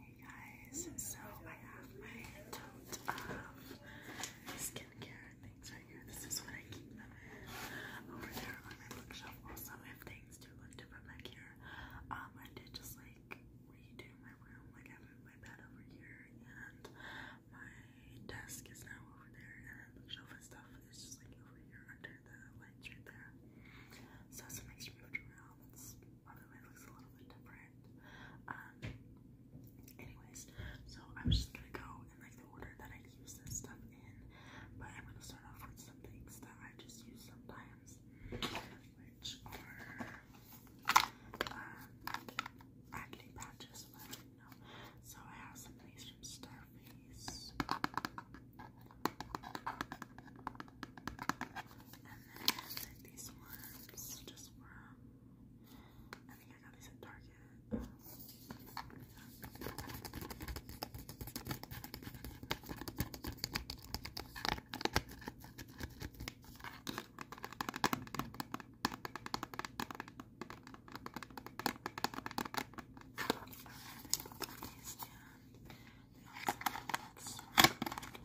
Hey guys, so I have my tote of skincare things right here. This is what I keep them in. Over there on my bookshelf also if things do look different back here. Um I did just like redo my room, like I moved my bed over here and my desk is now over there and the shelf and stuff is just like over here under the lights right there. So some extra moved around my food looks a little bit different. Um, anyways, so I'm just gonna go in like the order that I use this stuff in, but I'm gonna start off with some things that I just use sometimes, which are um, acne patches, So I have some of these from Starface then these ones just from, I think I got these at Target. Um, these and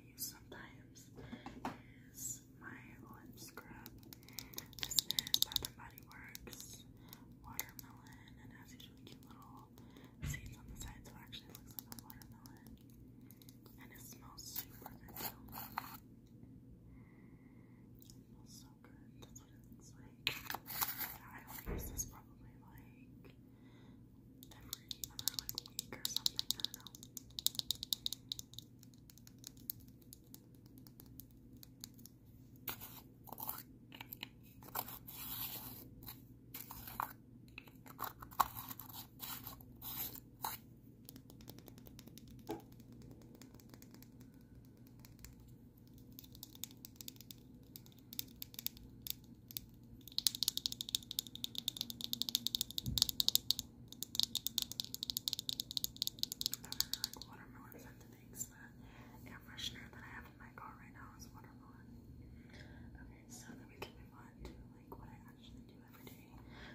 commonly use sometimes is my lip scrub. This is Body Works watermelon, and has these cute little seeds on the side, so actually looks like a watermelon. And it smells super good. It smells so good. That's what it looks like. I only use this probably like every other week or something. I don't know really like watermelons are things that air freshener that I have in my car right now is watermelon. Okay, so then we can move on to like what I actually do every day.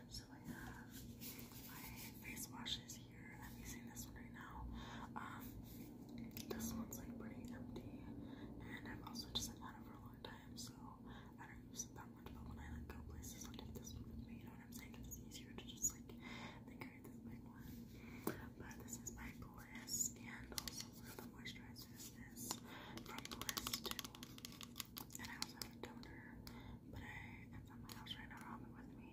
So I have my face washes here. I'm using this one right now. Um, this one's like pretty empty, and I've also just had it for a long time so I don't use that much, but when I like go places, i take this with me, you know what I'm saying? It's easier to just like think I this big one. But this is my Bliss, and also the moisturizer is from Bliss too. And I also have a toner, but I it's at my right now, with me.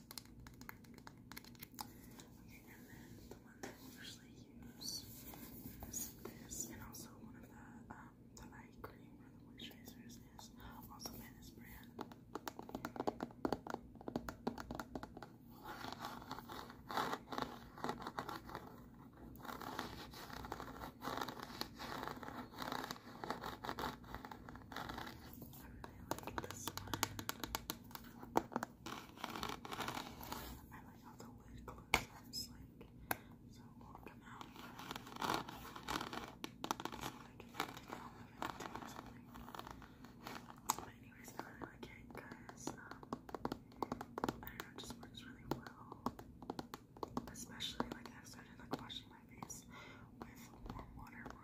Okay, and then the one that I usually use is this, and also one of the the eye cream or moisturizers is also by brand. And I like this one. I like how the lid closes, like, so it out. But anyways, I really like it because, um, I don't know, just works really well. Especially, like, i started, like, washing my face with warm water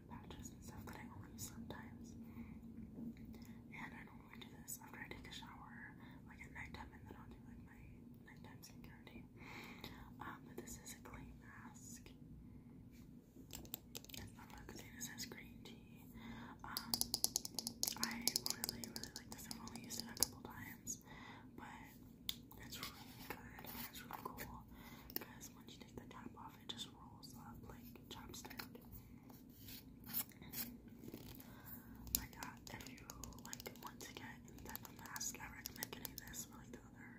patches and stuff that I only sometimes. And I normally do this after I take a shower, like at nighttime, and then I'll do like my nighttime skincare routine. Um, but this is a clay mask. And the magazine it says green tea. Um, I really, really like this. I've only used it a couple times, but it's really good it's really cool the cap off, it just rolls up like chopstick. Like that. If you like want to get any type of mask, I recommend getting this or like the other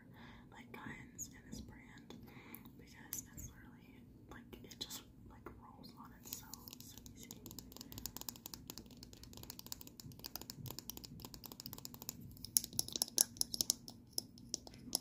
like kinds in this brand because it's literally like it just like rolls on itself, easy.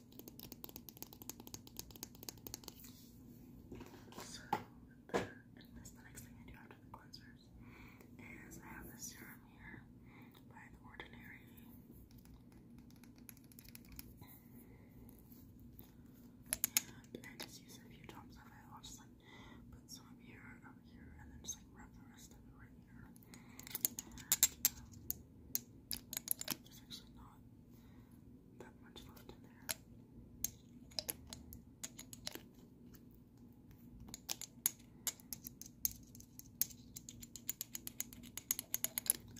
So, and that's the next thing I do after the cleansers is I have this serum here by The Ordinary. I just use a few drops of i just like put some here, up here, and then just like wrap the rest of it right there's actually not that much left in there.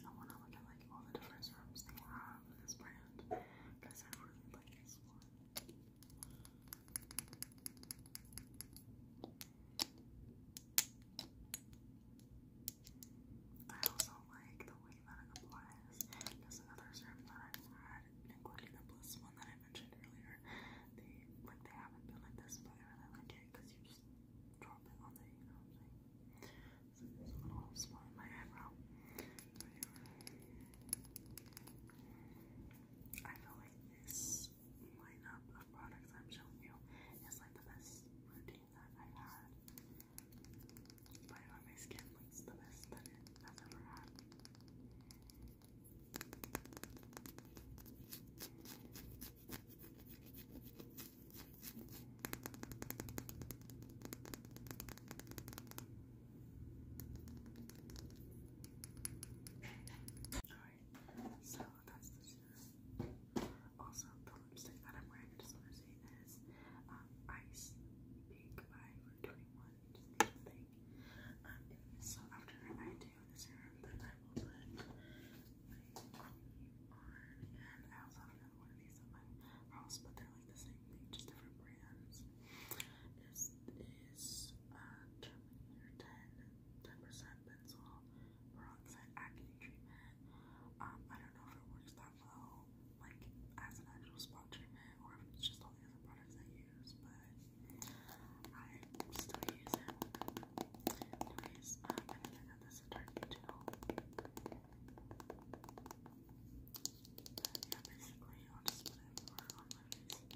I want to look at like all the different rooms they have in this brand because I really like this one. I also like the way that it applies. There's another serum that I've had, including the Bliss one that I mentioned earlier. They like they haven't been like this, but I really like it because you just drop it on there, you know So there's little spot in my eyebrow. I feel like this this lineup of products I'm showing you is like the best routine that i had. my skin looks the best that it has ever had. Alright, so also, the lipstick that I'm wearing, I just want to say, is um, Ice Pink by 21, um, so after I do this serum, then I will put cream on, I also have another one of these at my house, but they're like the same thing, just different brands. This is uh, Terminator 10, percent pencil peroxide acne treatment. Um, I don't know if it works that well, like as an actual spot treatment, or if it's just all other products I use, but I still use it. Anyways, um, I got this at Target yeah, basically, I'll just put it everywhere on my face.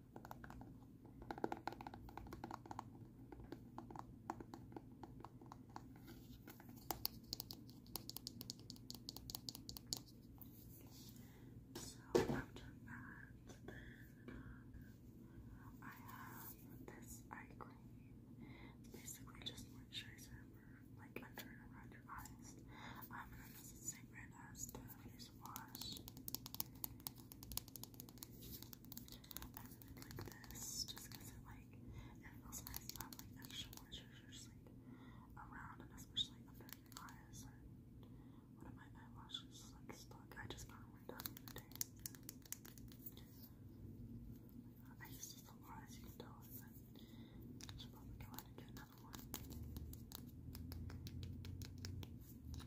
So after that, then I have this eye cream. basically just moisturizer for like under and around your eyes. Um, and then this is the same place was. And then like this, just it like, it nice to have like extra moisture like around and especially under your eyes. Or one of my eyelashes is like stuck. I just got one done the other I use this a lot as you can tell. It's probably go ahead and another one.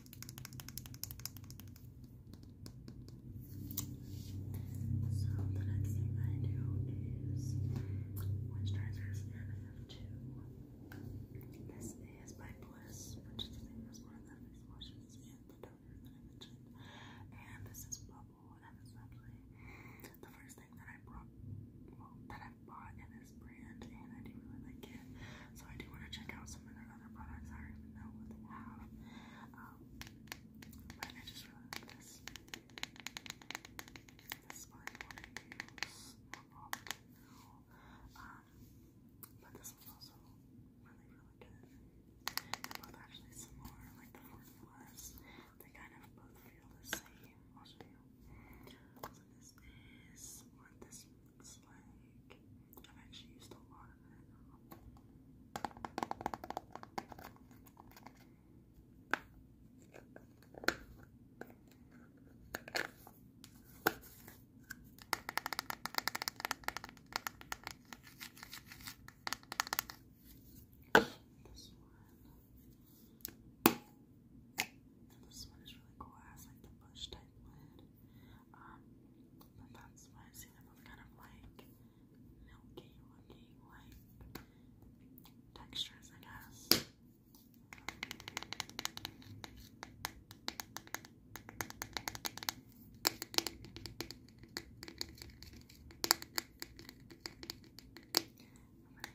So the next thing I do is moisturizers, I have two. This is by Bliss, which is the famous one that face washes and the toner that I mentioned. And this is Bubble, and it's actually the first thing that I brought, that i bought in this brand, and I do really like it. So I do want to check out some of their other products. I don't even know what they have. Um, but I just really like this. This is what I want to use all the time now. Um, but this was also really, really good. They're both actually like the formulas. They kind of both feel the same. i you. this is what this looks like. I've actually used a lot This one. This one is really cool. It like the bush type lid. Um, but that's why I see them kind of like milky looking, like textures, I guess. But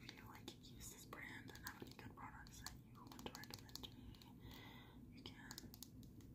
if you like use this brand and have any good products that you want to recommend to me, you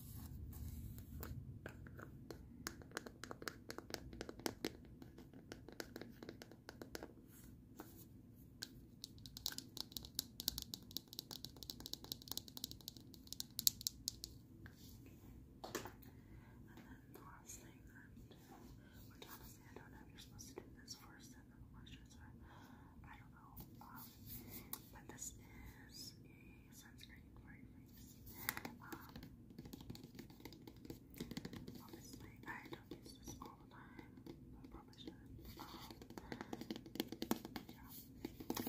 the last thing that, which honestly I don't know if you're supposed to do this first and then the moisturizer. I don't yellow. but this is a sunscreen for your face. obviously, I don't use this all the time, but probably should. yeah. Um,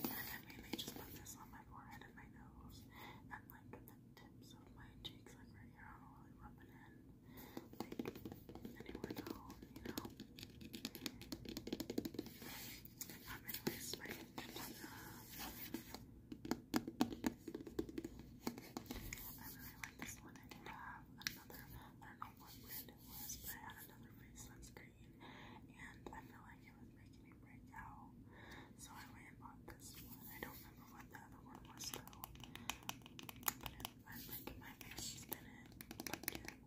and I mainly just put this on my forehead and my nose and like the tips of my cheeks, like right here. I do really rub it in like anywhere at you know. I'm really like this one. I did have another, I don't know what brand it was, but I had another face sunscreen and I feel like it was making me break out. So I went and bought this one. I don't remember what the other one was though. But it, I my face did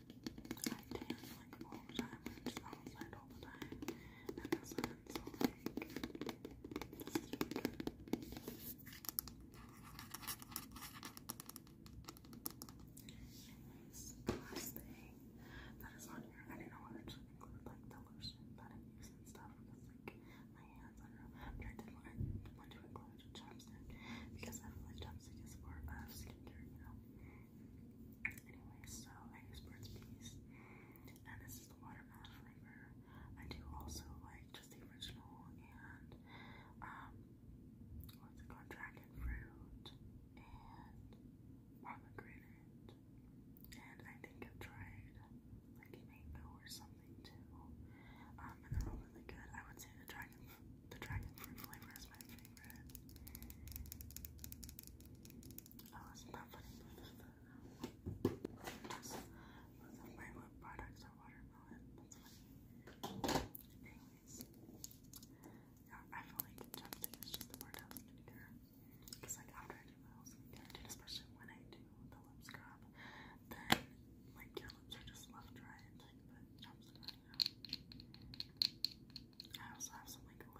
I tan like all the time. I'm outside all the time in the sun, like Anyways, last thing that is on here, I didn't know I actually include like the lotion that I use and stuff because like my hands, I but I did want, to include a chapstick because I chapstick is more of skincare, you know? Anyway, so I use Burt's Bees, and this is the watermelon flavor. I do also like just the original and um, what's it called? Dragon fruit and pomegranate, and I think I've tried like mango or something too. Um, and they're all really good. I would say the dragon, the dragon fruit flavor is my favorite. Oh, isn't funny? Yes. my lip products are watermelon. That's funny. Anyways. Yeah, I feel like jump to just the word I to do. Because like after I do my whole especially when I do the lip scrub, then like your lips are just left dry and like the I also have some like